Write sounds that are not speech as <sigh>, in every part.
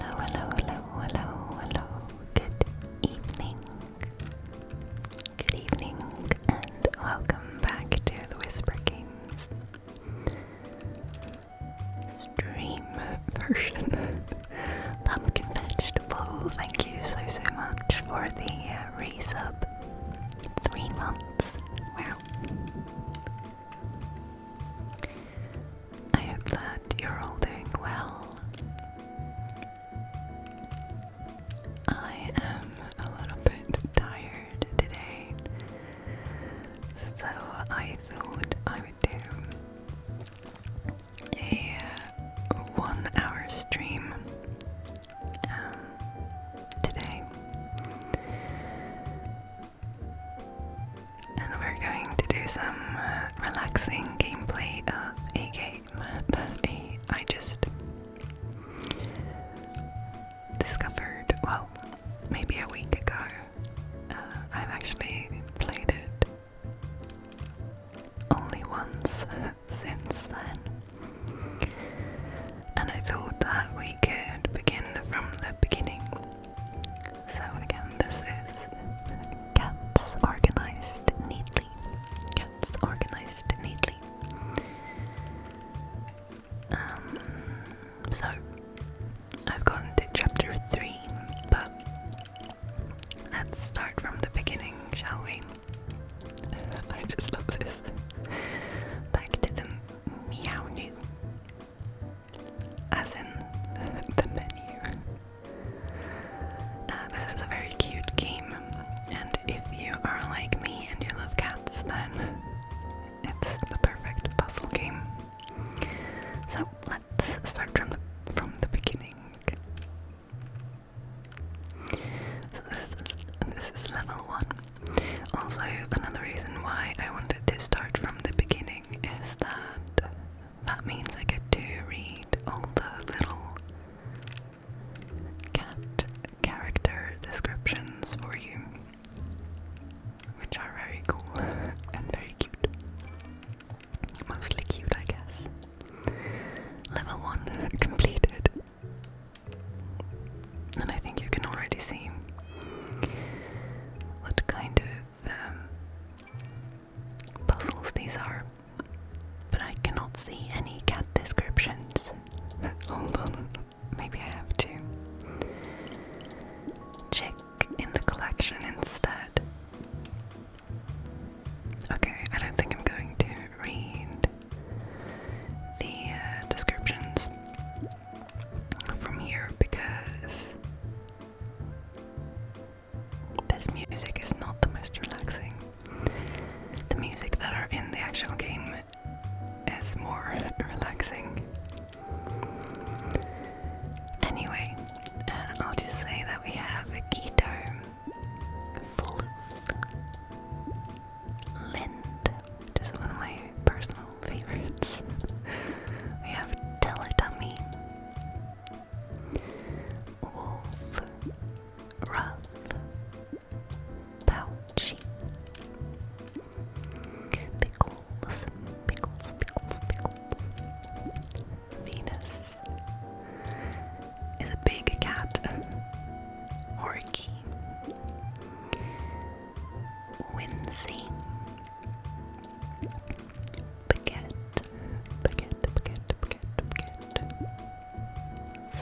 Hello, hello, hello, hello, hello. Good evening. Good evening, and welcome back to the Whisper Games stream version. <laughs> Pumpkin vegetable, thank you so so much for the uh, resub. Three months. Wow. I hope that you're all doing well. I am a little bit tired today, so I thought I would do a uh, one hour stream um, today. And we're going to do some uh, relaxing gameplay of a game that <laughs> a, I just discovered, well, maybe a week ago. Uh, I've actually played it only once <laughs> since then. And I thought that we could begin from the beginning. So again, this is cats organized neatly. Cats organized neatly. Um, so I've gotten to chapter three, but let's start from the beginning, shall we? <laughs> I just love this. Back to the meow as in <laughs> the menu. Uh, this is a very cute game, and if you are like me and you love cats, then it's the perfect puzzle game. So let's start from the, from the beginning. So this is this is level one. Also, another reason why I wanted to start from the beginning is that that means I get to read all the little cat character descriptions for you, which are very cool <laughs> and very cute. Mostly cute, I guess. Level 1 <laughs> completed. And I think you can already see what kind of um, puzzles these are, but I cannot see any cat descriptions. <laughs> Hold on, maybe I have to check in the collection instead. Okay, I don't think I'm going to read the uh, descriptions from here because this music is not the most relaxing. The music that are in the actual game is more <laughs> relaxing. Anyway, uh, I'll just say that we have a Keto, Floof, Lind, just one of my personal favorites. we have Teletubby, Wolf, Ruff, Pouchy, Pickles, Pickles, Pickles, Pickles, Venus is a big cat, Horky. Wincy, Baguette, Baguette, Baguette, Baguette, Baguette.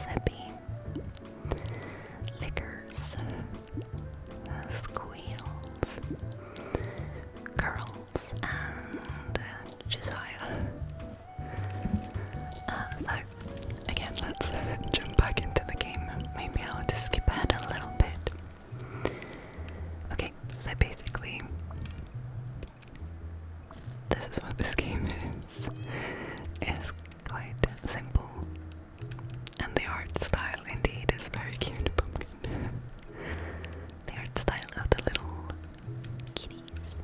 Zippy. Lickers. Uh, squeals. Curls. And uh, Josiah. Uh, so, again, let's <laughs> jump back into the game. Maybe I'll just skip ahead a little bit. Okay, so basically, this is what this game <laughs> is. It's quite simple, and the art style indeed is very cute, pumpkin. the art style of the little kitties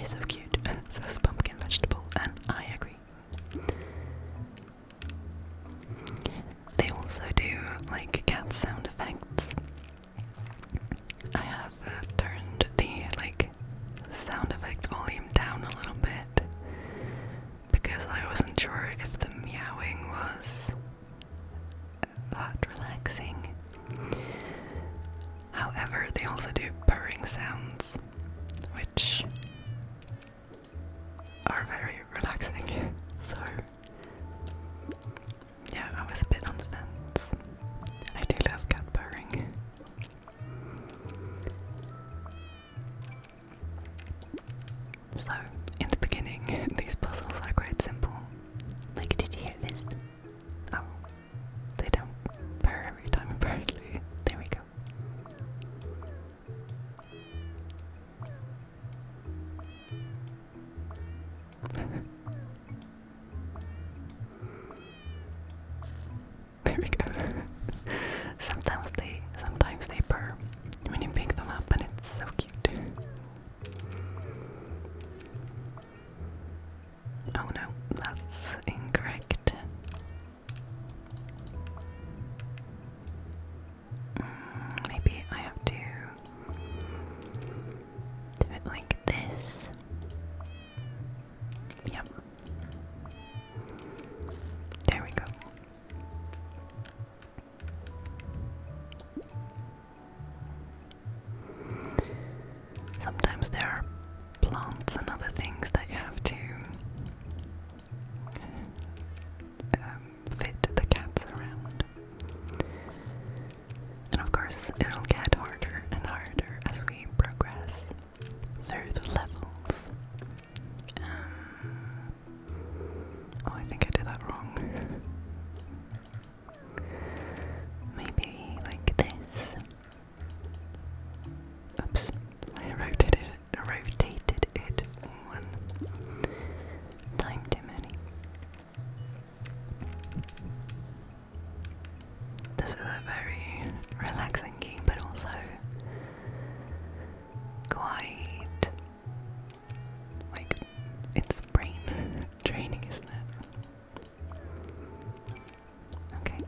is so cute, <laughs> says Pumpkin Vegetable, and I agree. They also do like cat sound effects. I have uh, turned the like sound effect volume down a little bit because I wasn't sure if the meowing was uh, that relaxing. However, they also do purring sounds, which are very relaxing. <laughs> So yeah, I was a bit on the fence. I do love cat purring. So, in the beginning, <laughs> these puzzles are quite simple. Like, did you hear this? Oh, they don't pair every time, <laughs> apparently. There we go. <laughs> there we go. <laughs> sometimes they sometimes they purr when you pick them up and it's so cute. Oh no, that's incorrect. Mm, maybe I have to do it like this. Yep. There we go. Sometimes there are plants and other things that you have to um, fit the cats around. And of course, it'll get harder and harder as we progress through the levels. Um, oh, I think I did that wrong. Maybe like this. Oops, I rotated it, rotated it one time too many. This is a very relaxing game, but also quite like it's brain training, isn't it? Okay.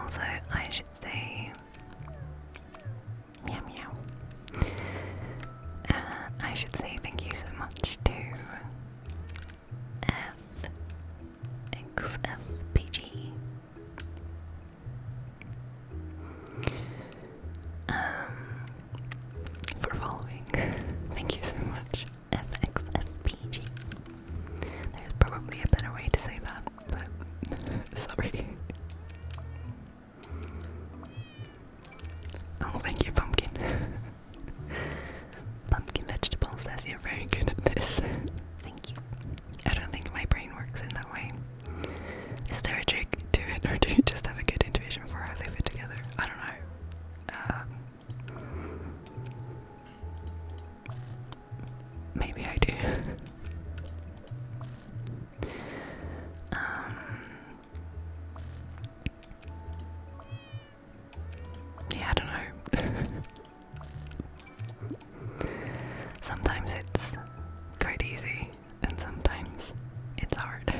Also, I should say Meow meow. Uh, I should say thank you so much to FXFPG. Um, for following. Thank you so much, FXFPG. There's probably a better way to say that, but <laughs> sorry. Oh, thank you, pumpkin. <laughs> pumpkin vegetables, as you're very good at this. thank you. I don't think my brain works in that way. Is there a trick to it, or do you just have a good intuition for how they fit together? I don't know. Um, maybe I do. Um, yeah, I don't know. <laughs> sometimes it's quite easy, and sometimes it's hard. <laughs>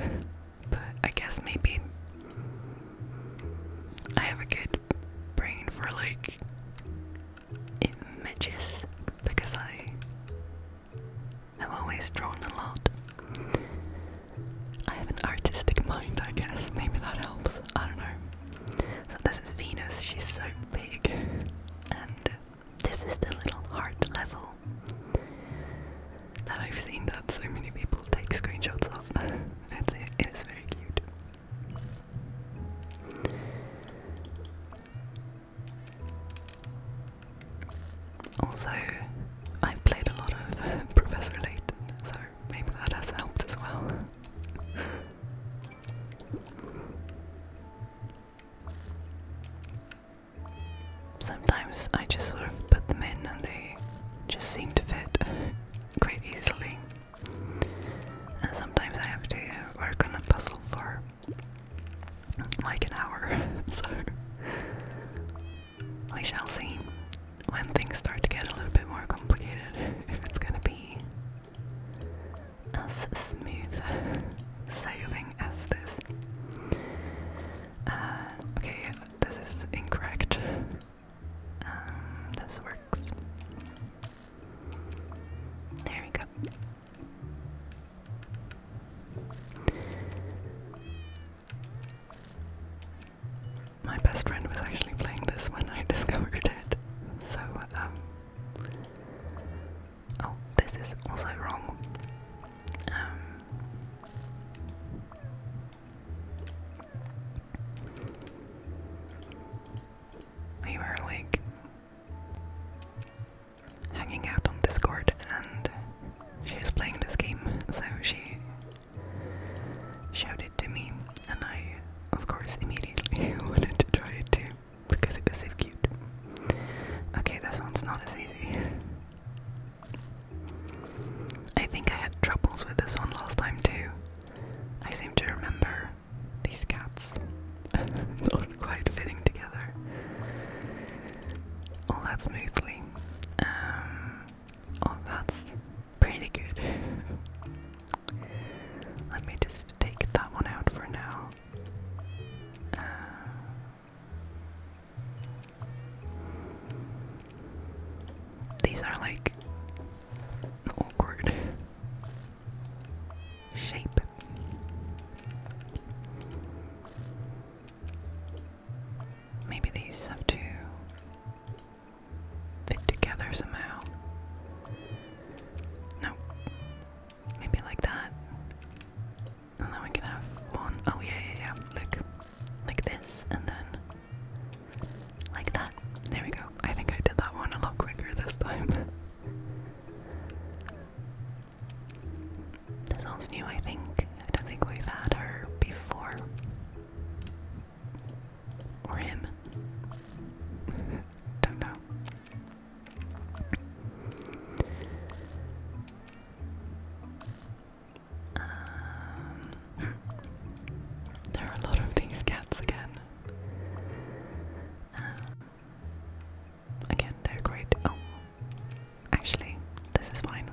but I guess maybe I have a good brain for like images because I I've always drawn a lot. I have an artistic mind, I guess. Maybe that helps. I don't know. So this is Venus. She's so big. And this is the little heart level that I've seen that so many people take screenshots of. <laughs> That's it. It is very cute. Also, I played a lot of <laughs> Professor Layton, so maybe that has helped as well. Sometimes I just sort of put them in and they just seem to fit <laughs> quite easily. And sometimes I have to work on a puzzle for like an hour, <laughs> so we shall see when things start to get a little bit more complicated <laughs> if it's gonna be as smooth sailing as this. Uh, okay, this is incorrect. Um, this works. There we go. My best friend was actually playing this when I <laughs> discovered it. So, um. Oh, this is also wrong. Um. You are hanging out on Discord and she was playing this game, so she showed it to me, and I, of course, immediately <laughs> wanted to try it too because it was so cute. Okay, this one's not as easy. I think I had troubles with this one last time too. I seem to remember these cats <laughs> quite fitting together. All that smoothly. Um, oh, that's pretty good. Let me just take that one out for now. Uh, these are like awkward shape. Maybe these have to fit together somehow. No. Maybe like that. And then we can have one. Oh, yeah, yeah, yeah. Look. Like this, and then like that. There we go. I think I did that one a lot quicker this time. <laughs> That sounds new, I think. I don't think we've had her before. Or him. <laughs> don't know. Um, <laughs> there are a lot of these cats again. Um, Again, they're great. Oh, actually, this is fine.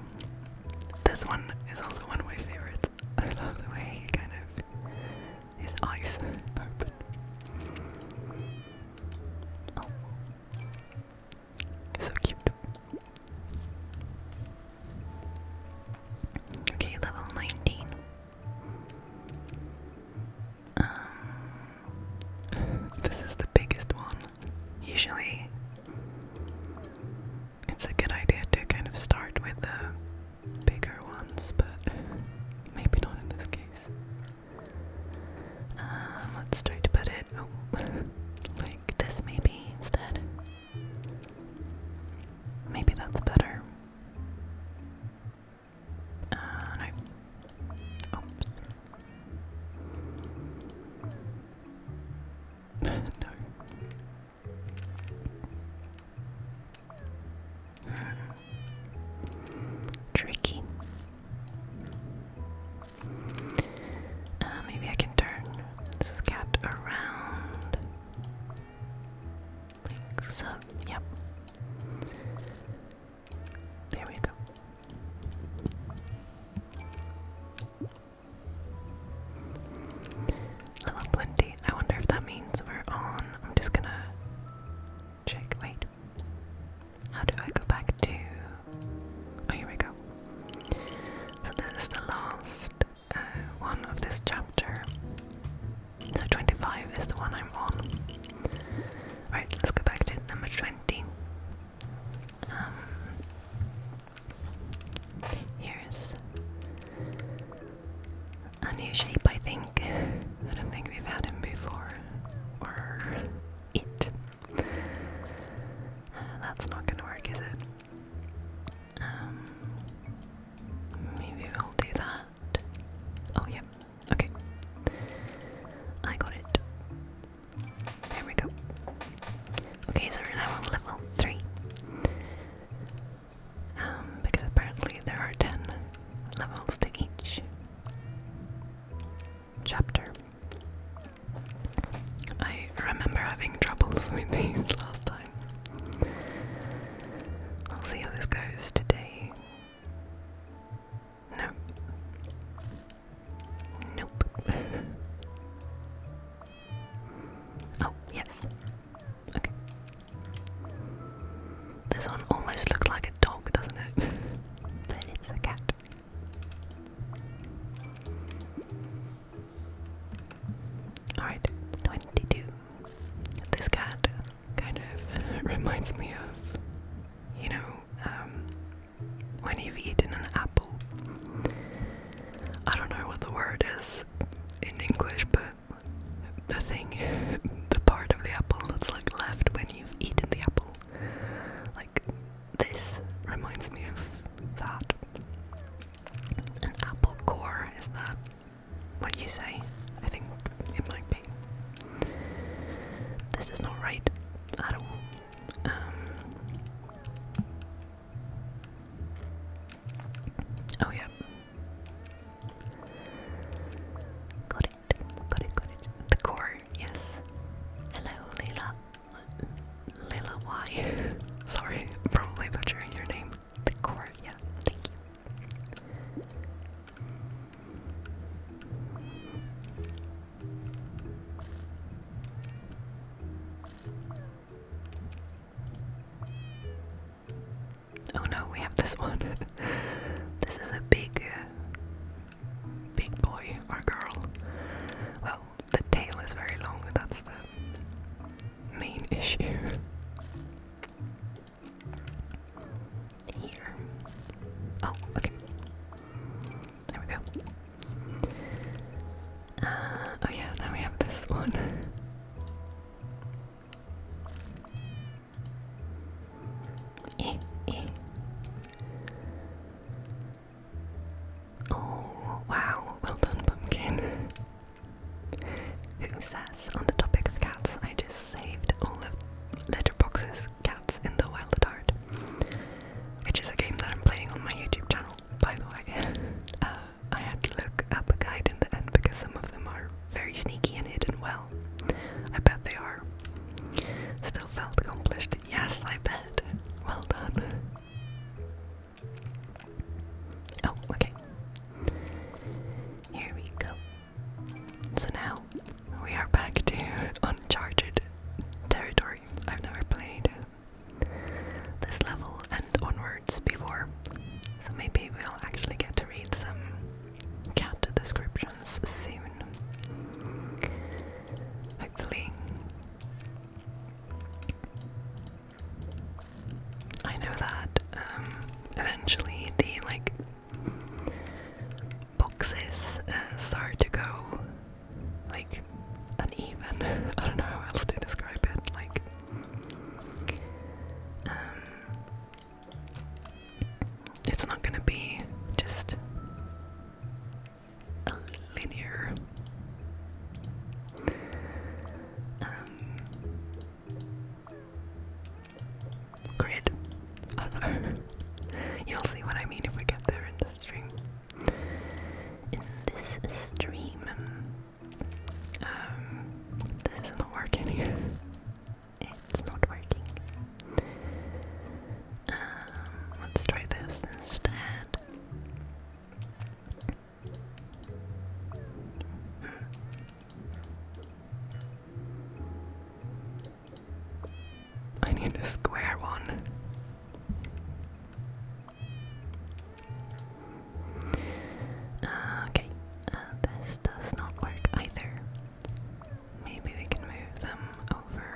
This one is also one of my favorites. <laughs> I love the way he kind of his eyes open. Oh. so cute. Okay, level nineteen. Um, <laughs> this is the biggest one usually it's a good idea to kind of start with the bigger ones, but maybe not in this case. Um, let's try to put it oh, like this maybe instead. Maybe that's better. Uh, no. <laughs> Tricky. Uh, maybe I can turn this cat around. Like so. Yep. There we go. Level 20. I wonder if that means we're on. I'm just gonna check. Wait. How do I go back to. Oh, here we go. So, this is the last uh, one of this chapter. So, 25 is the one I'm on. Right, let's go back to number 20. Um, here's a new shape, I think. I don't think we've had him before. Or it. that's not gonna work, is it? Um, maybe we'll do that. Oh, yep. Okay. I got it. There we go. Okay, so we're level 3. Um, because apparently there are 10 levels to each chapter. I remember having troubles <laughs> with these last time. I'll see how this goes today. No. Nope. <laughs> oh, yes. Okay. This one almost looks like a dog, doesn't it? but <laughs> it's a cat. Alright, 22. This cat kind of <laughs> reminds me of, you know, um, when you've eaten an apple. I don't know what the word is in English, but the thing, <laughs> the part of the apple that's like left when you've eaten the apple. Like this reminds me of that. An apple core, is that what you say? I think it might be. This is not right at all. Um, oh yeah. Got it. Got it. Got it. The core. Yes. Hello, Leila. Leila Y. <laughs> Sorry, probably butchering your name. The core. Yeah. Thank you. Oh no, we have this one. <laughs> this is a big, uh, big boy or girl. Well, the tail is very long, that's the main issue. <laughs> Here. Oh, okay. There we go. Uh, oh yeah, now we have this one. <laughs> Eh, eh. Oh wow, well done, pumpkin. Who says on the topic of cats, I just saved all of Letterbox's Cats in the Wild at Heart, which is a game that I'm playing on my YouTube channel by the way. <laughs> Uh, I had to look up a guide in the end because some of them are very sneaky and hidden well. I bet they are. Still felt accomplished. Yes, I bet. Well done. Oh, okay. Here we go. So now we are back to <laughs> Uncharted territory. I've never played this level and onwards before, so maybe we'll actually get to read some cat descriptions soon. Hopefully. I know that um, eventually the like boxes uh, start to go like uneven. <laughs> I don't know how else to describe it. Like, um, it's not gonna be just linear. Um, grid. <laughs> You'll see what I mean if we get there in the stream in this stream. Um, this is not working <laughs> It's not working. Um, let's try this instead. I need a square one. Uh, okay, uh, this does not work either. Maybe we can move them over.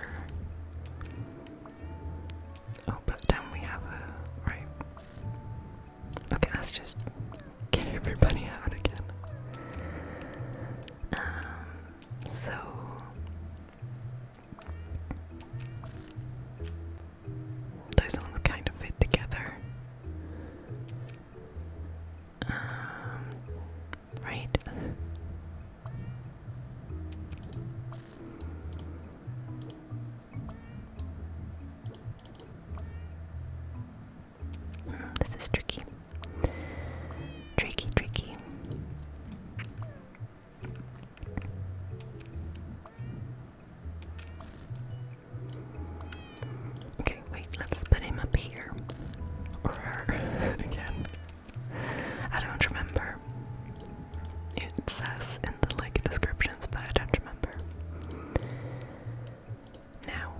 Oh, but then we have a. Right. Okay, let's just get everybody out again. Um, so. Those ones kind of fit together. Um, right? Mm, this is tricky. Tricky, tricky. Okay, wait, let's put him up here. Or her <laughs> again. I don't remember. It says in the link descriptions, but I don't remember. Now.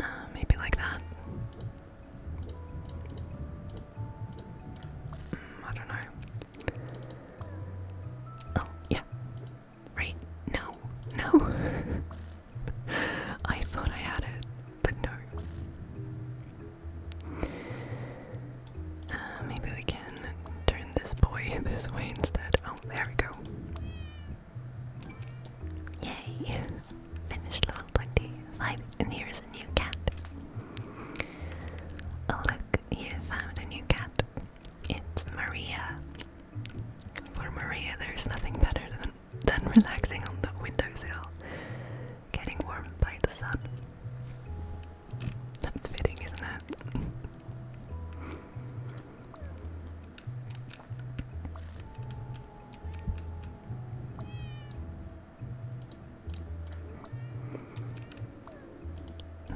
Uh, maybe like that. Mm, I don't know. Oh, yeah. Right? No. No. <laughs> I thought I had it, but no. Uh, maybe we can turn this boy <laughs> this way instead. Oh, there we go. Yay! Finished level 20. Five, and here's a new cat. Oh, look, you found a new cat. It's Maria. For Maria, there's nothing better than, than relaxing on the windowsill, getting warmed by the sun. That's fitting, isn't it?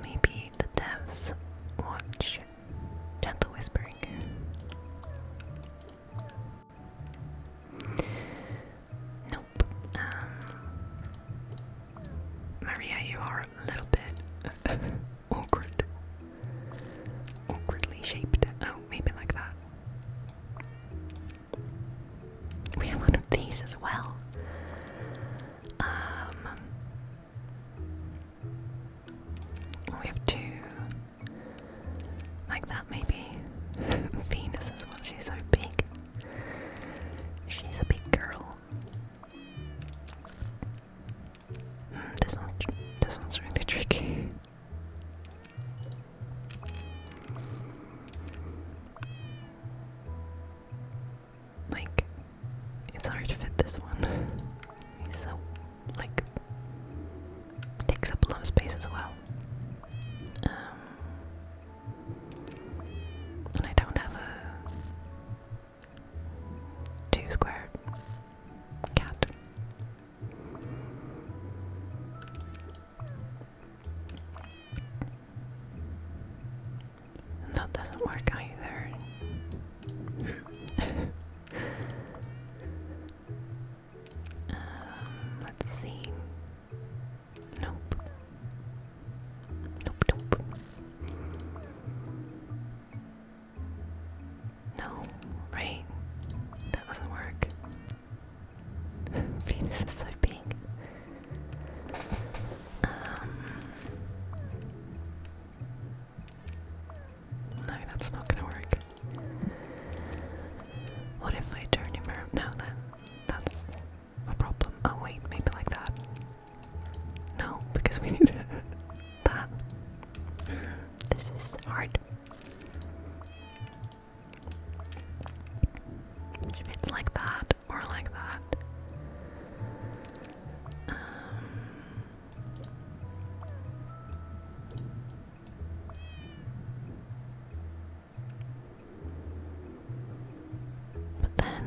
Maybe the depths watch Gentle Whispering. Nope. Um, Maria, you are a little bit <laughs> awkward. Awkwardly shaped. Oh, maybe like that. We have one of these as well. Um, we have two, like that maybe. <laughs> Venus as well, she's so big. She's a big girl. Hmm, this, one, this one's really tricky. Like, it's hard to fit this one. He's so, like, takes up a lot of space as well. Um, and I don't have a two squared cat that doesn't work either. <laughs> Um, let's see. Nope. Nope, nope. No, right? That doesn't work. Venus is so big. Um, no, that's not gonna work. What if I turn him around now then? That's a problem. Oh wait, maybe like that. No, because we <laughs> need that. This is hard. If it's like that, that like that. Um, but then,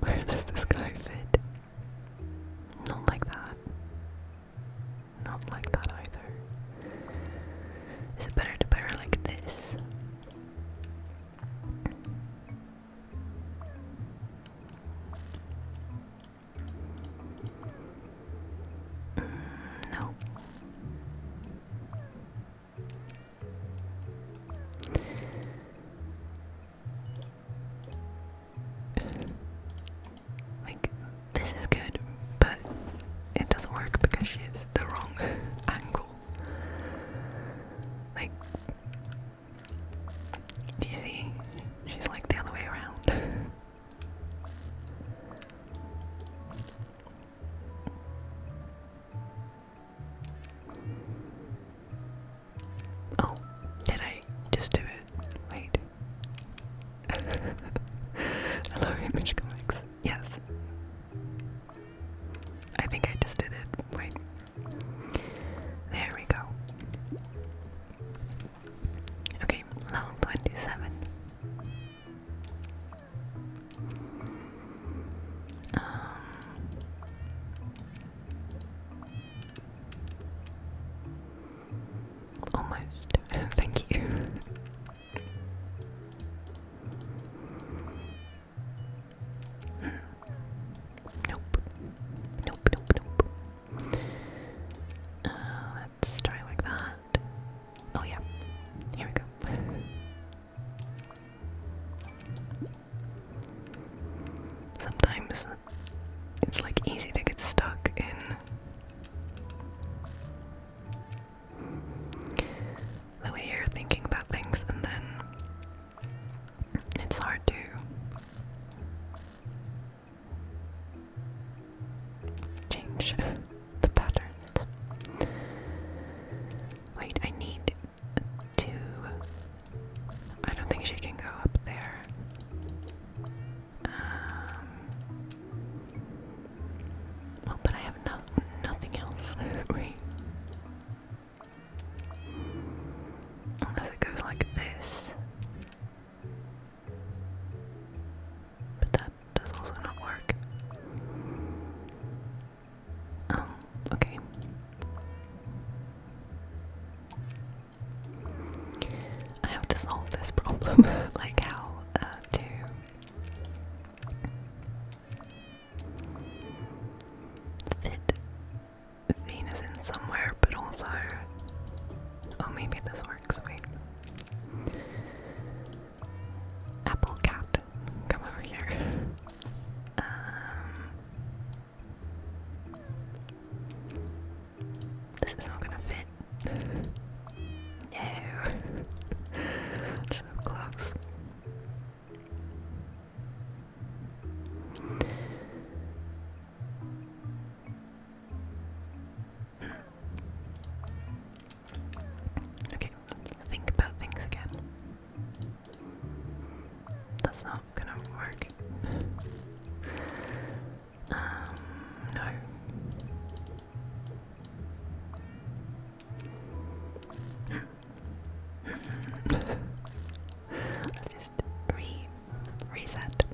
where does this guy fit? Not like that. Not like that either. Is it better to pair like this? no. Like, this is good, but it doesn't work because she is the wrong <laughs> angle. Like, do you see? She's like the other way around. <laughs> oh, did I just do it? Wait. <laughs> Hello, Image Comics. Yes. I think I just did it. Wait. There we go. Okay, level 27. Um, almost. <laughs> Thank you. Nope. Nope, nope, nope. Uh, let's try like that. Oh, yeah. Here we go. Sometimes it's like easy to get stuck in the way you're thinking about things and then it's hard to change <laughs> the patterns. Wait, I need to. I don't think she can go up there. Um. but I have no nothing else. <laughs> Wait. Unless it goes like this. But that does also not work. Um, okay. I have to solve this <laughs> problem, like how uh, to fit Venus in somewhere, but also. Oh, maybe this works. Wait. Apple Cat, come over here. Um, this is not gonna fit. No. <laughs> so close. Okay, think about things again. That's not gonna work. Um, no. Let's just reset. Reset,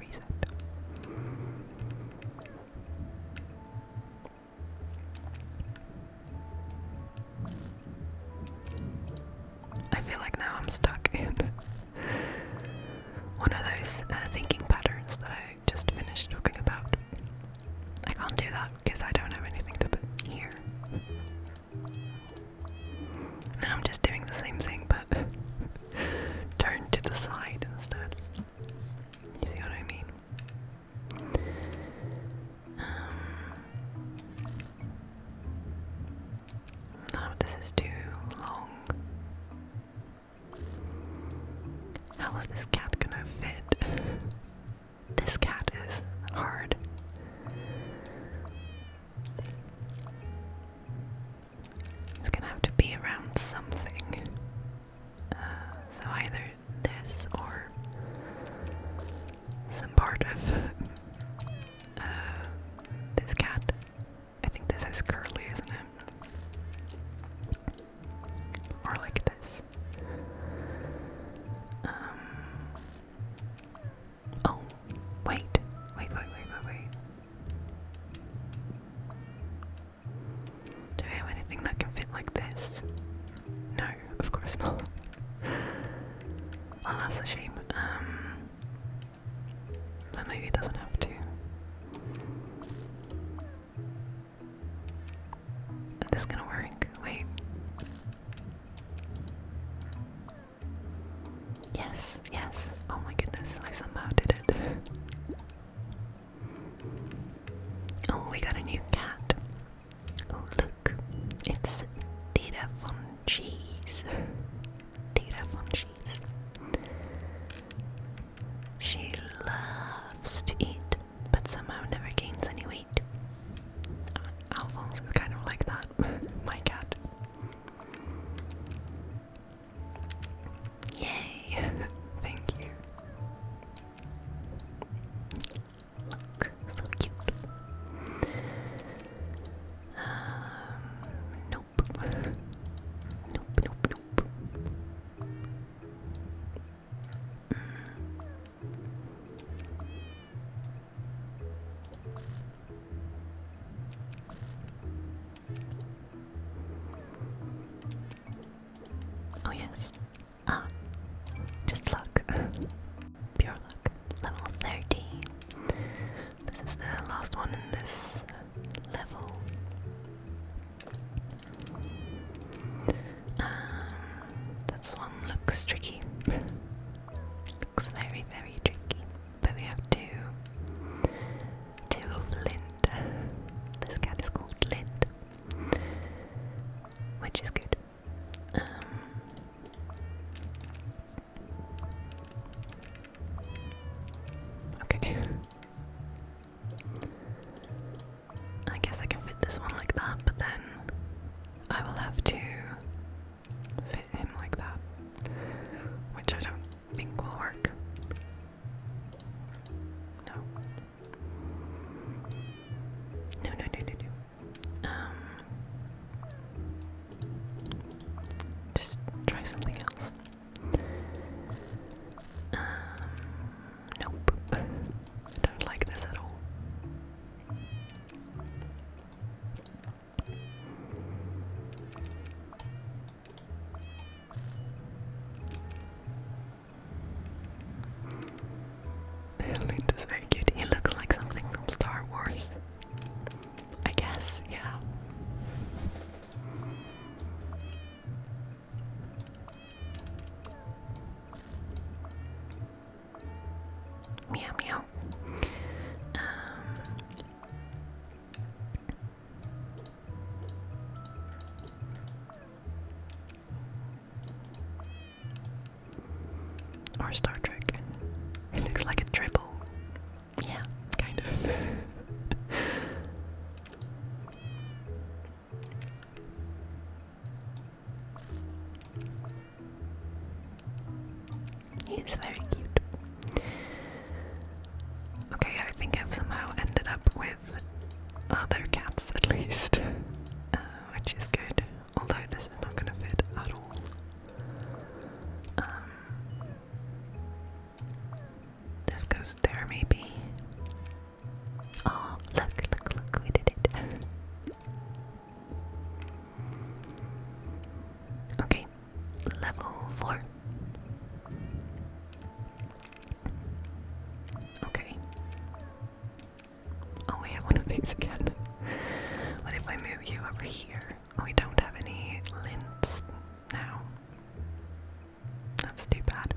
reset. I feel like now I'm stuck in one of those uh, thinking patterns that I just finished talking about. I can't do that because I don't have anything to put here. Now I'm just doing the same thing but <laughs> turned to the side instead. You see what I mean? Um, this is too long. How is this cat gonna fit? <laughs> This cat is hard. It's gonna have to be around something. Uh, so either this or some part of uh, this cat. I think this is curly, isn't it? Or like this. Um, Oh, wait, wait, wait, wait, wait, wait. Do I have anything that can fit like this? No, of course not. <laughs> well, that's a shame. Um, but maybe it doesn't have to. Is this gonna work? Wait. Yes, yes. Oh my goodness, I somehow did it. Oh, we got a new cat. Oh, look. It's Data von Cheese. Data von Cheese. She loves to eat, but somehow never gains any weight. Wait. Uh, Alphonse is kind of like that. <laughs> My cat. Yay! <laughs> Thank you. Look, so cute. Um, nope. Nope, nope, nope. Mm. Oh yes. Ah. Just luck. <laughs> Pure luck. Level 30. This is the last one in this level. Um, this one looks tricky. Looks very, very tricky. But we have two. Two of Lind. This cat is called Lind. Which is good. Um, okay. I guess I can fit this one like that, but then I will have to fit him like that, which I don't think will work. No. No, no, no, no, Um, just try something else. Um, nope. <laughs> don't like this at all. Lint is very cute. He looks like something from Star Wars. I guess, yeah. Meow meow. Um, or Star Trek. <laughs> It looks like a triple. Yeah, kind of. <laughs> He's very cute. Okay, I think I've somehow ended up with other cats at least, <laughs> uh, which is good. Although this is not gonna fit at all. Um, this goes there, maybe. Oh, look, look, look, we did it. <laughs> Okay, level four. Okay. Oh, we have one of these again. what if I move you over here? we don't have any lints now. That's too bad.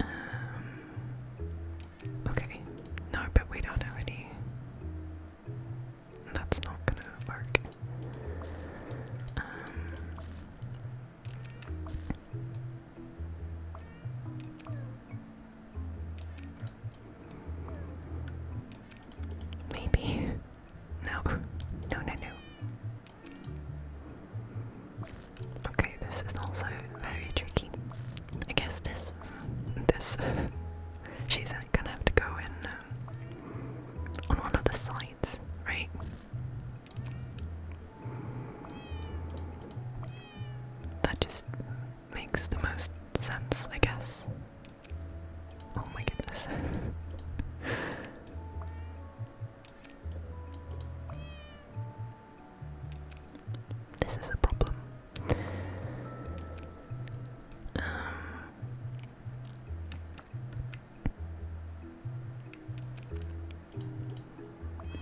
Um, Okay. No, but we don't have any. That's not gonna work. Um, maybe. No. No, no, no. Okay, this is also very tricky. I guess this, this she's gonna have to go in um, on one of the sides, right? That just makes the most sense, I guess. Oh my goodness. <laughs> this is a problem. Um,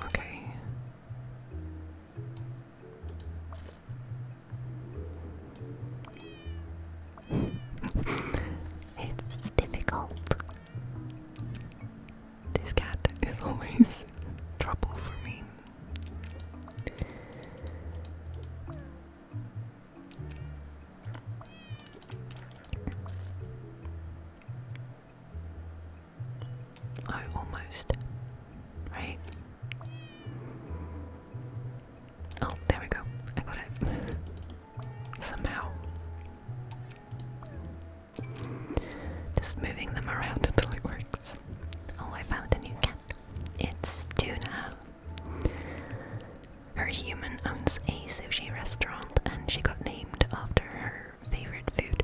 okay. <laughs> it's difficult. This cat is always <laughs> trouble for me. Oh, almost. Right? Oh, there we go. I got it. Somehow. Just moving them around <laughs> until it works. Oh, I found a new cat. It's tuna. Her human owns a sushi restaurant and she got named after her favorite food.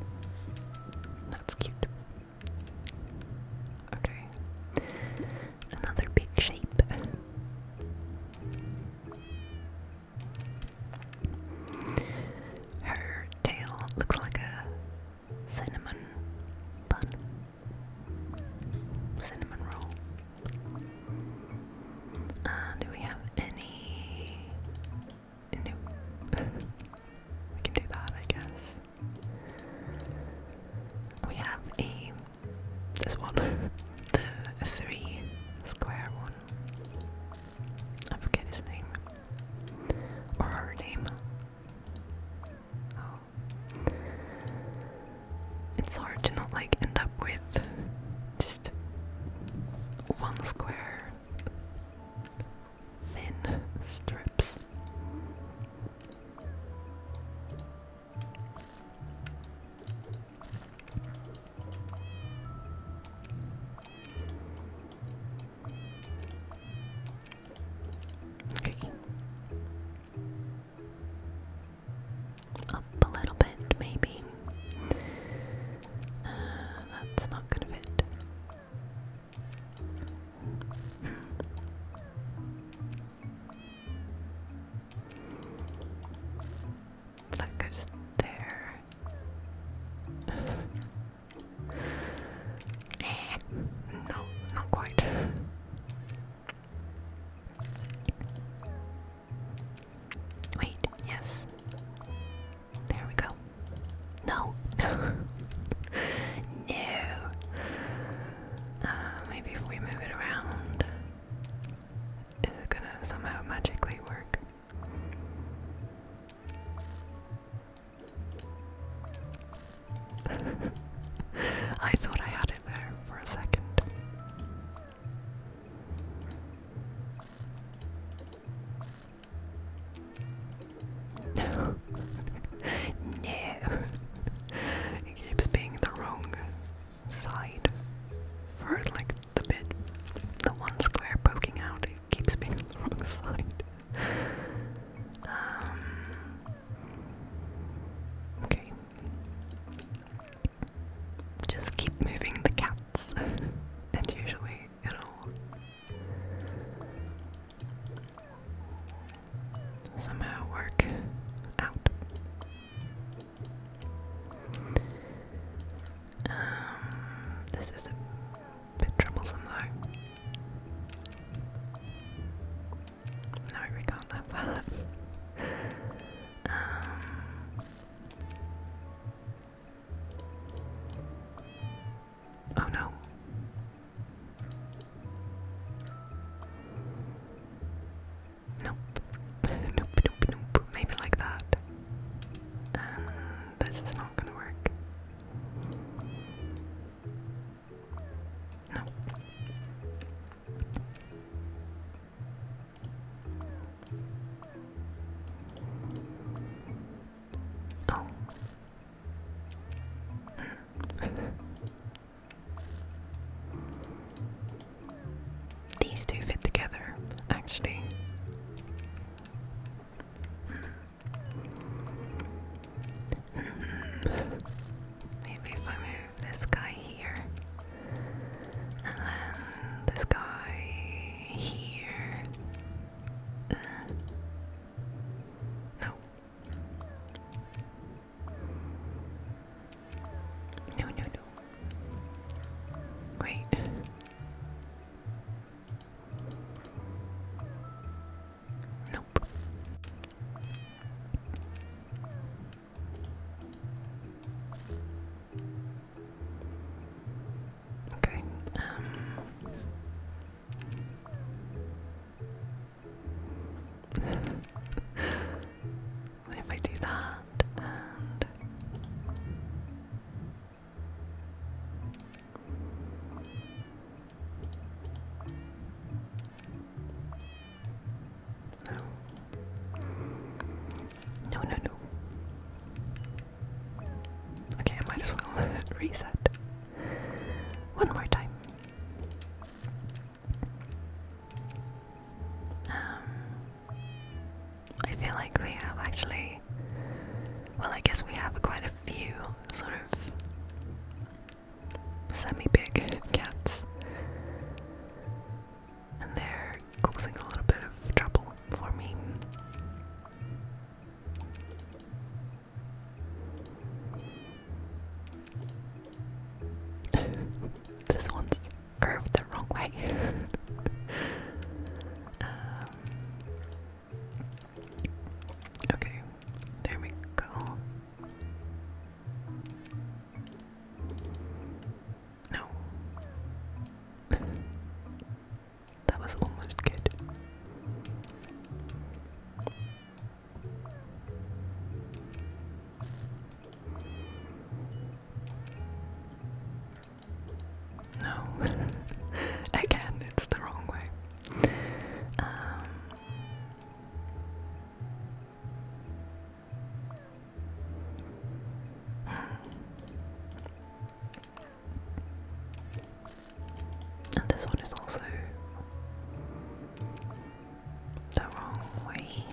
That's cute. Okay. Another big shape. Her tail looks like a cinnamon bun cinnamon roll. Uh, do we have any? Nope. <laughs> we can do that, I guess. We have a this one, <laughs> the three square one. I forget his name or her name. Oh. It's hard to not like end up with just one square thin strips. Okay up a little bit, maybe. Uh, that's not gonna fit. that goes there no, not quite. Wait, yes. There we go. No, <laughs> no, uh, maybe if we move it around, is it gonna somehow magically work? I thought I had it there for a second. <laughs> no. It keeps being the wrong side. For like the bit, the one square poking out, it keeps being the wrong <laughs> side. Um, Okay. Just keep moving the cats, <laughs> and usually it'll somehow work out. Um, this is a bit troublesome though. No, we can't have that. Um, oh no. Nope. <laughs> nope, nope, nope. Maybe like that. this is not gonna work. These two fit together, actually. Um, maybe if I move this guy here, and then this guy here. Uh, no, no, no. Wait. Nope. Okay. Um <laughs> if I do that no. No, no, Okay, I might as well <laughs> reset. One more time. Um, I feel like we have actually. Well, I guess we have quite a few sort of semi-big cats. And they're causing a little bit of trouble for me. <laughs> this one's curved the wrong way. <laughs> Um, okay, there we go. No. <laughs> that was almost good. No. <laughs> Again, it's the wrong way. Um, and this one is also the wrong way.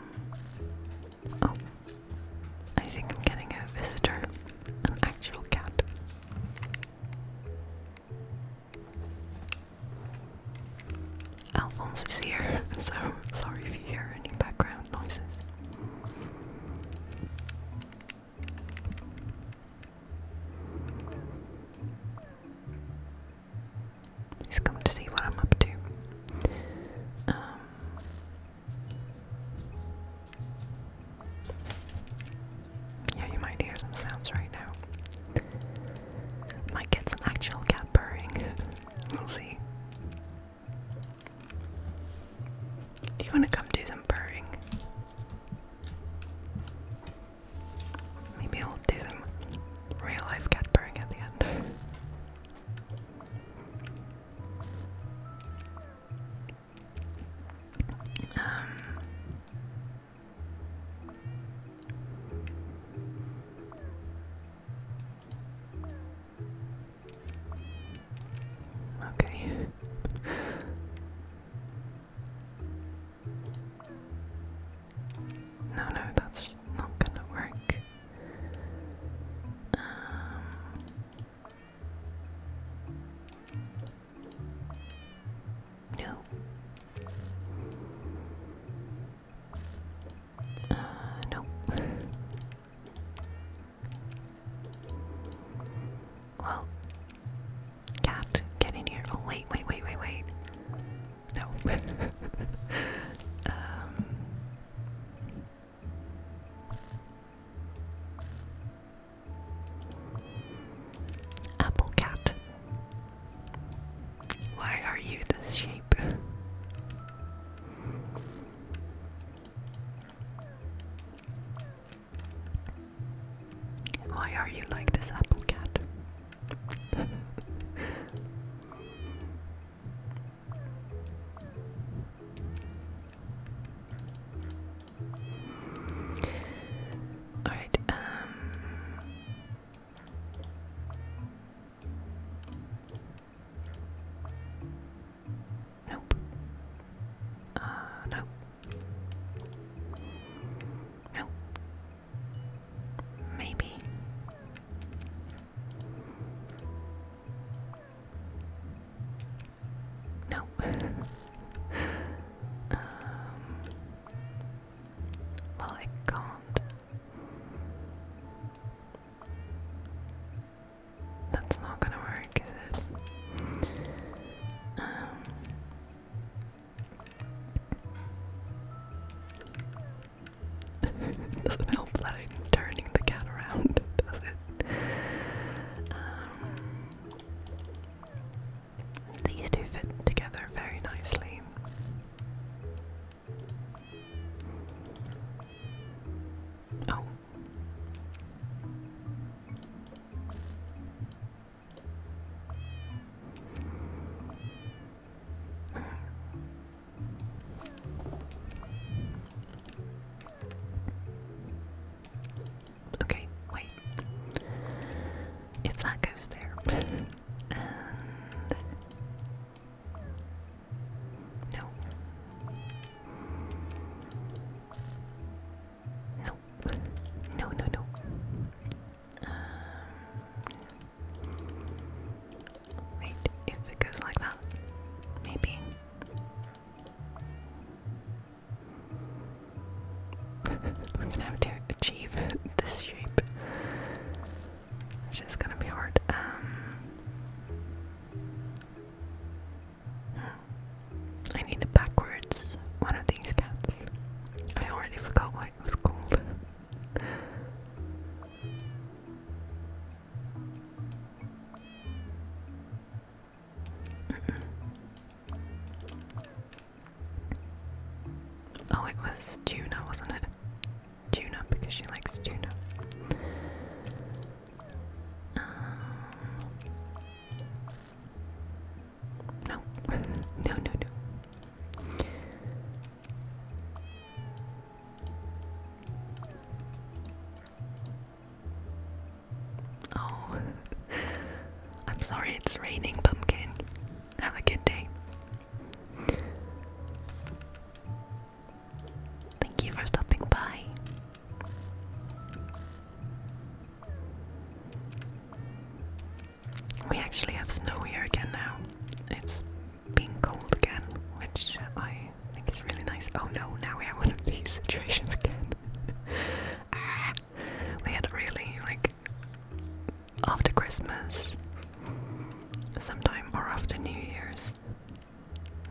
Mm. Oh, I think I'm getting a visitor, an actual cat. Alphonse is here, <laughs> so sorry if you hear any background noises. He's come to see what I'm up to. Um, yeah, you might hear some sounds right now. Might get some actual cat purring. <laughs> we'll see. Do you want to come do some purring? Maybe I'll do some real life cat purring at the end. Um, okay. no, no, that's not gonna work. Um, no. Uh, nope. Well, cat, get in here. Oh, wait, wait, wait, wait, wait. No. <laughs> um, Apple cat. Why are you this shape? Why are you like this apple cat? <laughs> Alright, um, Nope. Uh, nope. Nope. Maybe. Nope. <laughs> Um, well, I can't. That's not gonna work, is it? Um, <laughs> doesn't help that I'm turning the cat around, <laughs> does it? Um, these two fit together very nicely. Oh. Okay, wait. If that goes there. <laughs> No. No. No, no, no. Um, wait, if it goes like that, maybe. I'm gonna have to achieve this shape, which is gonna be hard. Um, I need a backwards one of these cats. I already forgot what it was called. <laughs> oh, it was tuna, wasn't it? Tuna, because she likes tuna. Um, <laughs> no, no, no, no. Oh, <laughs> I'm sorry it's raining, pumpkin. Have a good day. Thank you for stopping by. We actually have snow here again now. It's being cold again, which I think is really nice. Oh no, now we have one of these <laughs> situations again. <laughs> we had really like after Christmas, sometime or after New Year's,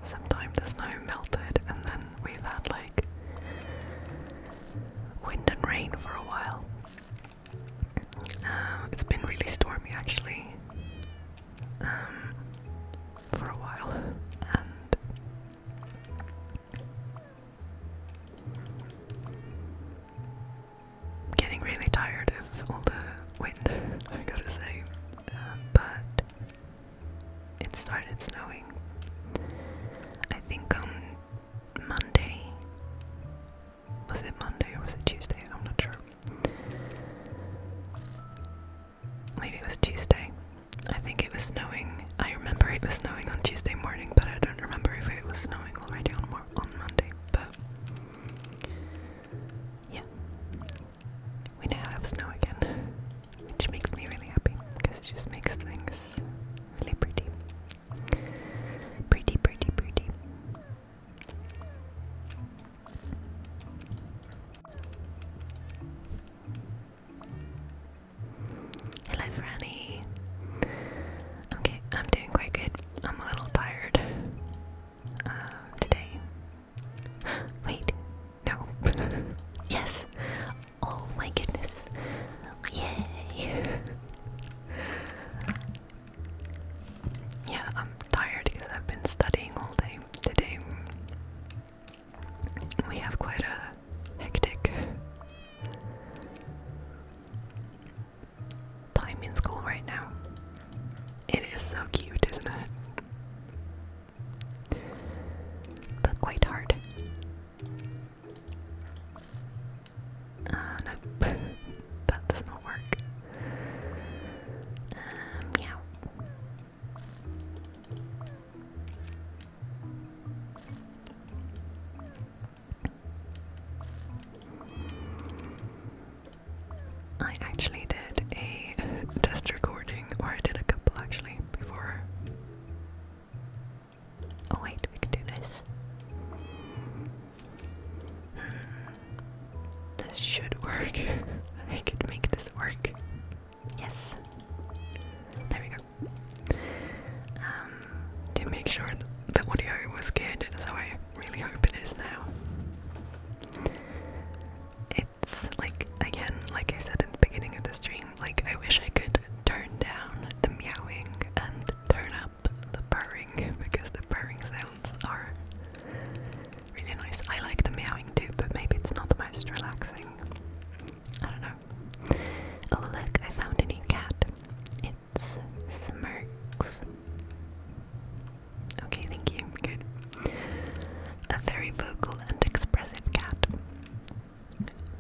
sometime the snow melted, and then we've had like wind and rain for a while. Um, it's been really stormy actually um, for a while, I'm getting really tired of all the wind, <laughs> I gotta say. Um, but it started snowing. I think on Monday. Was it Monday or was it Tuesday? I'm not sure maybe it was Tuesday. I think it was snowing. I remember it was snowing on Tuesday morning, but I don't remember if it was snowing already on Monday. But yeah, we now have snow again, which makes me really happy because it just makes things really pretty, pretty, pretty, pretty. Hello, Franny. Okay, I'm doing quite good. I'm a little tired um, today. <gasps> Wait, no. <laughs> yes. Oh my goodness. Yay. <laughs> yeah, I'm tired because I've been studying all day today. We have quite a hectic time in school right now. It is so cute, isn't it? But quite hard. Uh, no, that does not work. Um, meow. I actually did a <laughs> test recording, or I did a couple actually, before. Oh, wait, we can do this. <sighs> This should work. <laughs> I could make this work. Yes. There we go. Um, to make sure the audio was good, so I really hope it is now. It's like, again, like I said at the beginning of the stream, like I wish I could turn down the meowing and turn up the purring <laughs> because the purring sounds are really nice. I like the meowing too, but maybe it's not the most relaxing. I don't know. Oh look, I found a new cat. It's Smirks. Okay, thank you. Good. A very vocal and expressive cat.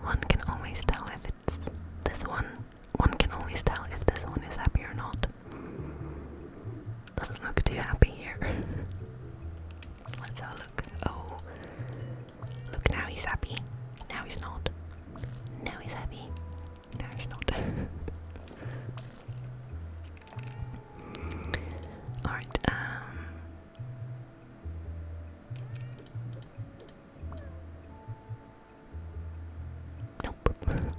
One can always tell if it's this one. One can always tell if this one is happy or not. Doesn't look too happy here. <laughs> Let's have a look. Oh, look now he's happy. Now he's not. Now he's happy. Now he's not. <laughs> All right. Um. <laughs>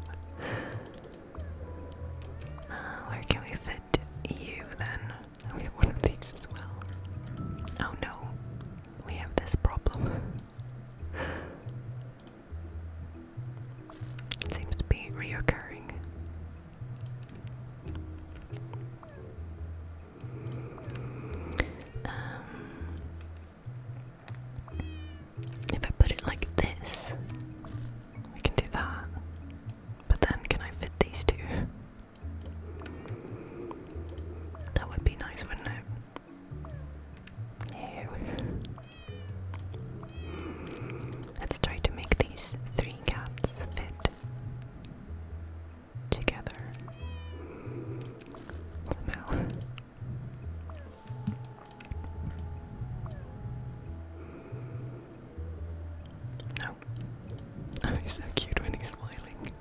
Uh, where can we fit you then? We have one of these as well. Oh no, we have this problem. it seems to be reoccurring. Um, if I put it like this, we can do that. But then, can I fit these two? That would be nice, wouldn't it? No. Let's try to make these three caps fit together Oh, he's so cute when he's smiling.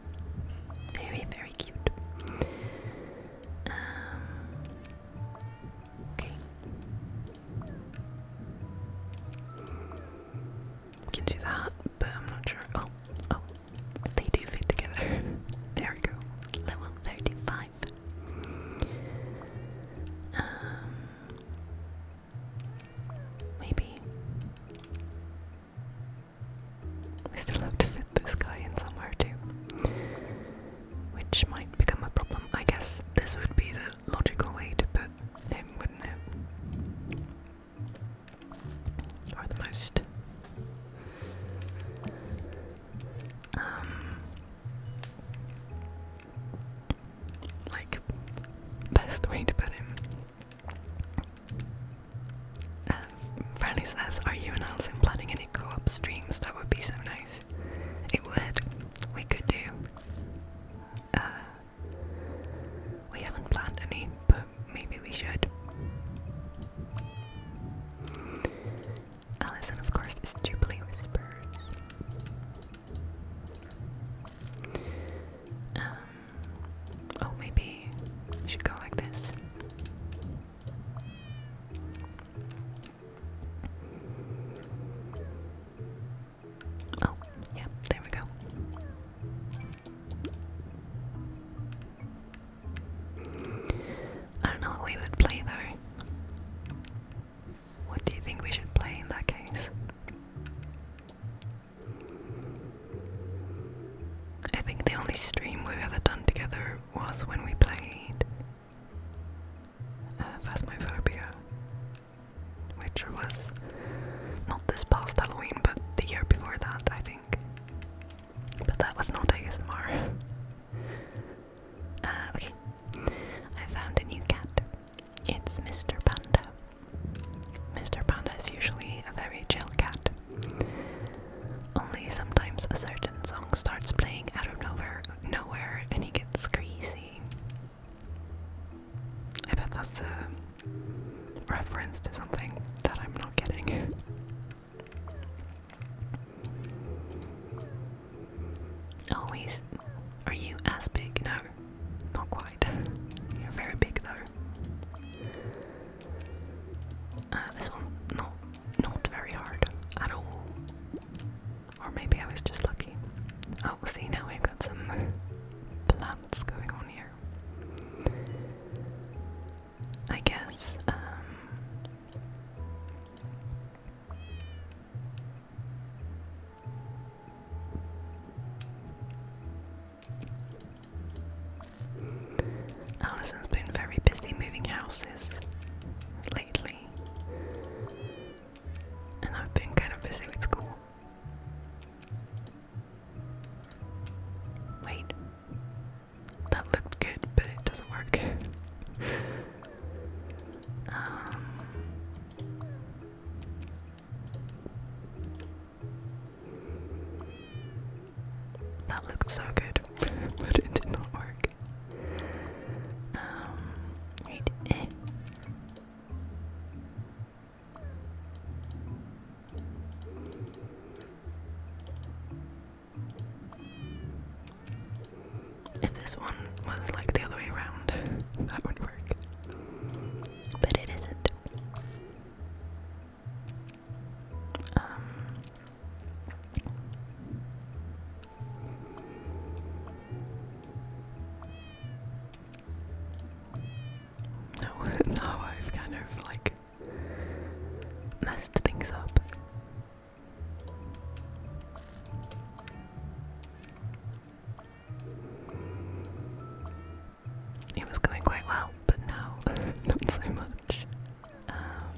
Very, very cute. Um, okay. We can do that, but I'm not sure. Oh, oh, they do fit together. <laughs> there we go. Level 35. Um, Maybe. We still have to fit this guy in somewhere too. Which might become a problem. I guess this would be the logical way to put him, wouldn't it? Or the most. Um, like, best way to put him. Uh, says, are you and Alison planning any co-op streams? That would be so nice. It would. We could do. Uh, we haven't planned any, but maybe we should. Alison, of course, is Jubilee Whispers. Um, Oh, maybe you should go like this. Oh, yeah, there we go. I don't know what we would play though. What do you think we should play in that case? I think the only stream we've ever done together was when we played uh, Phasmophobia, which was not this past Halloween, but the year before that, I think. But that was not ASMR. Uh, okay, I found a new cat. It's Mr. Panda. Mr. Panda is usually a very chill cat. Only sometimes a certain song starts playing out of nowhere, nowhere and he gets crazy. I bet that's a reference to something that I'm not getting. Always. Are you as big? No, not quite. You're very big though. Uh, this one, not, not very hard at all. Or maybe I was just lucky. Oh, see, now we've got some <laughs> plants going on here. I guess, um, Alison's been very busy moving houses lately, and I've been kind of busy with school. Wait, that looked good, but it doesn't work. <laughs> Um, that looked so good, <laughs> but it did not work. Um, right, eh. If this one was like the other way around, <laughs> that would work. But it isn't. Um, <laughs> no, now I've kind of like messed things up it was going quite well, but now <laughs> not so much. Um,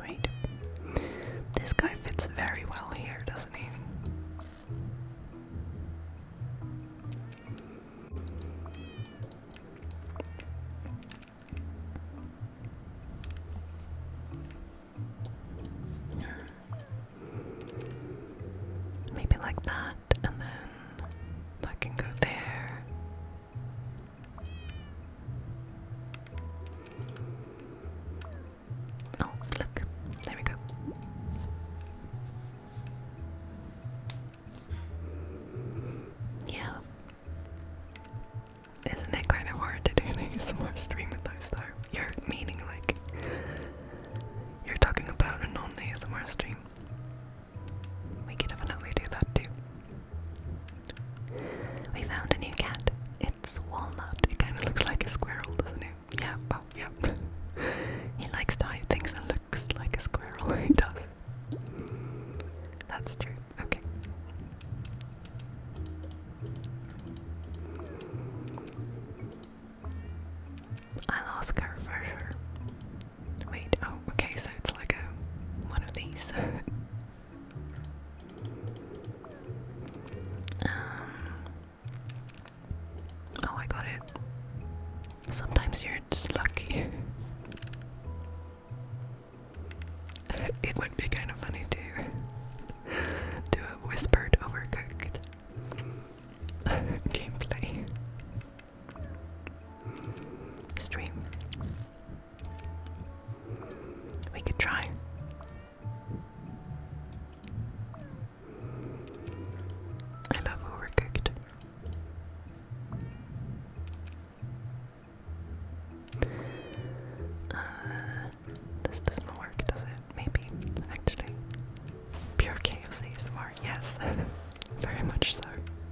wait, this guy fits very well here, doesn't he? Maybe like that, and then that can go there. Oh, look, there we go. Yeah. Isn't it kind of hard to do an ASMR <laughs> stream with those though? You're meaning like you're talking about an only ASMR stream. We can definitely do that too. We found a new cat. It's Walnut. It kind of looks like a squirrel, doesn't it? Yeah, well, oh, yeah. <laughs> he likes to hide things and looks like a squirrel. <laughs> he does. That's true. Okay. I'll ask her for her. Wait, oh, okay, so it's like a one of these. <laughs> Um, oh, I got it. Sometimes you're just lucky. <laughs> it would be kind of funny too to have whispered overcooked gameplay stream. We could try. I love overcooked. Uh, this doesn't work, does it? Maybe, actually. Pure KFC ASMR, yes. <laughs> Very much so.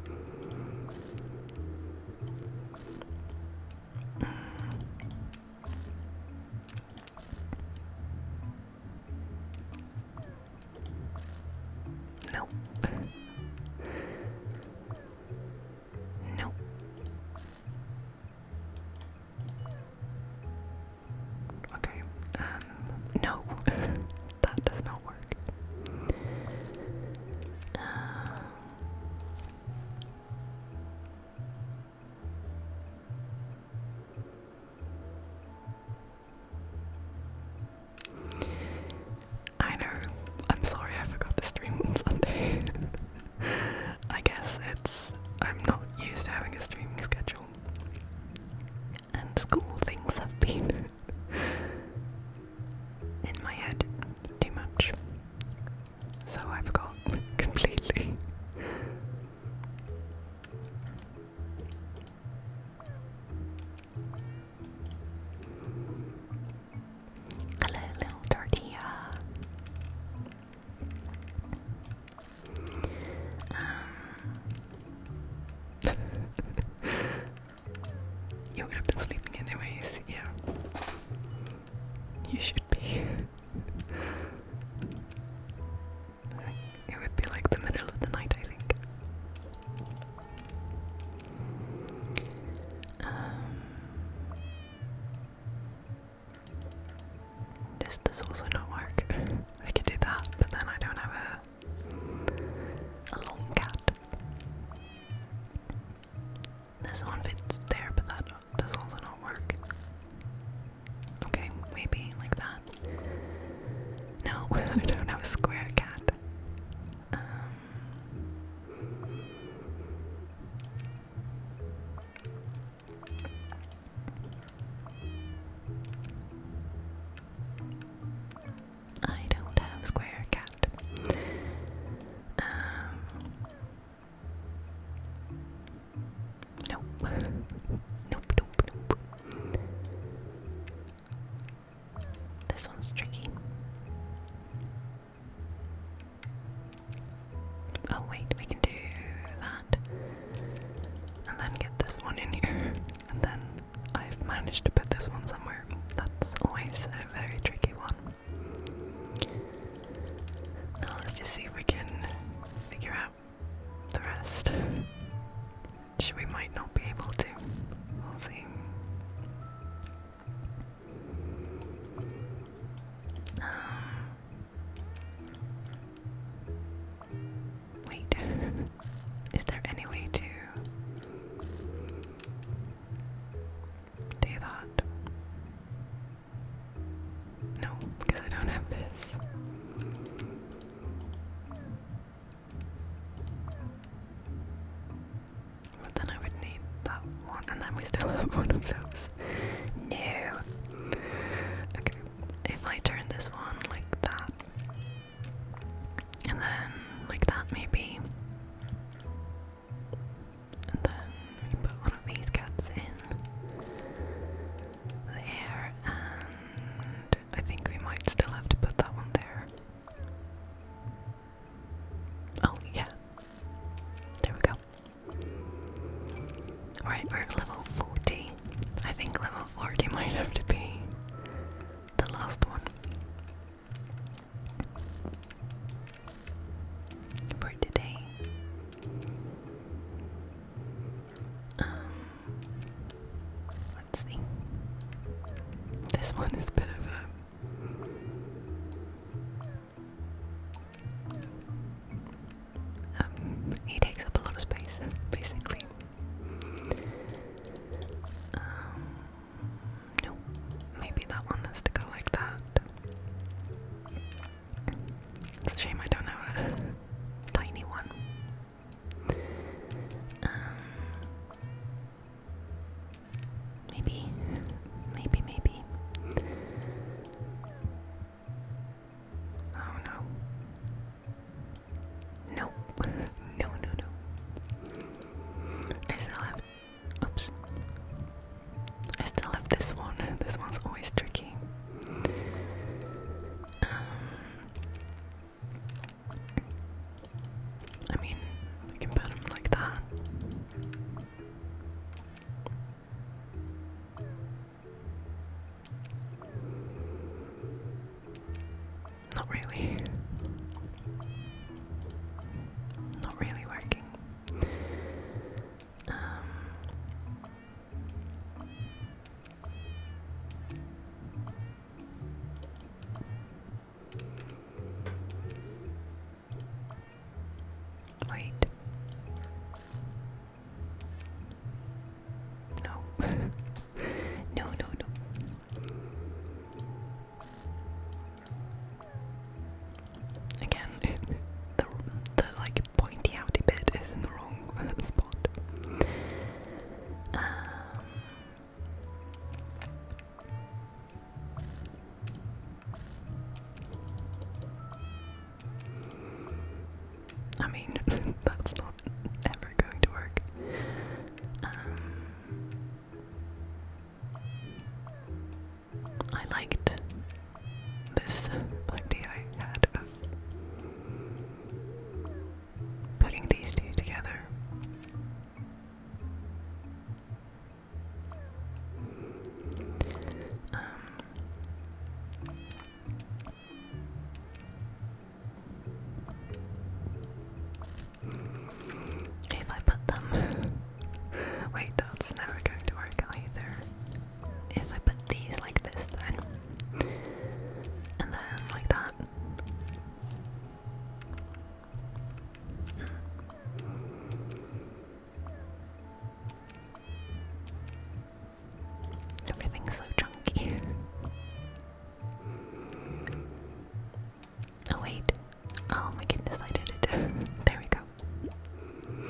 Mm. Nope. Okay, um, no, <laughs> that does not work. Um, I know. I'm sorry, I forgot to stream on Sunday. <laughs> I guess it's I'm not used to having a streaming schedule. And school things have been <laughs> in my head too much. So I forgot <laughs> completely. Hello, <laughs> little tortilla. Um, <laughs> you have been sleeping anyways, yeah. You should be. it would be like the middle of the night, I think. Um, does this also not work? <laughs> I could do that, but then I don't have a, a long cat. This one fits there, but that does also not work. Okay, maybe like that. No, <laughs> I don't have a square cat. Um, I don't have square cat. Um, nope. <laughs> nope, nope, nope. This one's tricky. Oh wait, we can do that. And then get this one in here. And then I've managed to put this one somewhere. That's always a very tricky one. Now let's just see if we can figure out the rest. Which we might not be able to. We'll see. Um, Wait, <laughs> is there any way to do that? No, because I don't have this. But then I would need that one, and then we still <laughs> have one of those. No. Okay if I turn this one like that, and then like that maybe, and then put one of these cats in there, and I think we might still have to put that one there. Oh, yeah. There we go. Alright, we're at level 40. I think level 40 might have to be the last one. For today. Um, let's see. This one is bit of a um, he takes up a lot of space, basically. Um, maybe that one has to go like that. It's a shame I don't have a tiny one. Um, maybe, maybe, maybe. Oh no. No. no, no, no. I still have. Oops. I still have this one. <laughs> This one's always tricky. Um, I mean, we can put them like that. Not really. Not really working. Um, wait. No. <laughs> no, no, no. Again, <laughs> the like pointy outy bit is in the wrong <laughs> spot. Um, I mean, <laughs> that's not ever going to work. Um, I liked this idea of putting these two together. Um, if I put them. Wait, that's never going to work either. If I put these like this, And then like that. Everything's so chunky. Oh wait. Oh my goodness, I did it. <laughs> there we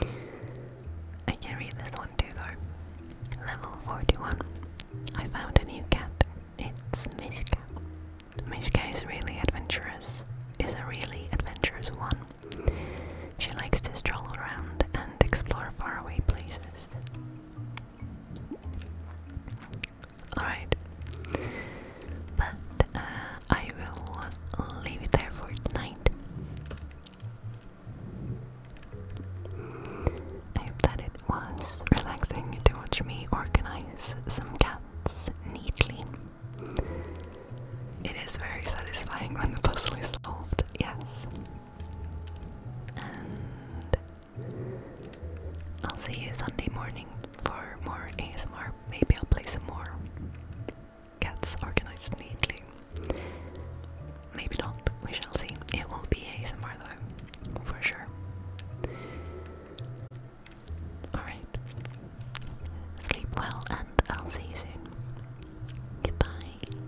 go. I can read this one too though. Level 41. I found a new cat. It's Mishka. Mishka is really adventurous. Is a really adventurous one. She likes to stroll around and explore faraway places. Alright. But uh, I will leave it there for tonight. I hope that it was relaxing to watch me organize some cats neatly. It is very satisfying when the puzzle is solved, yes. And I'll see you Sunday morning for more ASMR. Maybe I'll play some more cats organized neatly. Maybe not. We shall see. It will be ASMR though, for sure. Alright. Sleep well and I'll see you soon. Goodbye.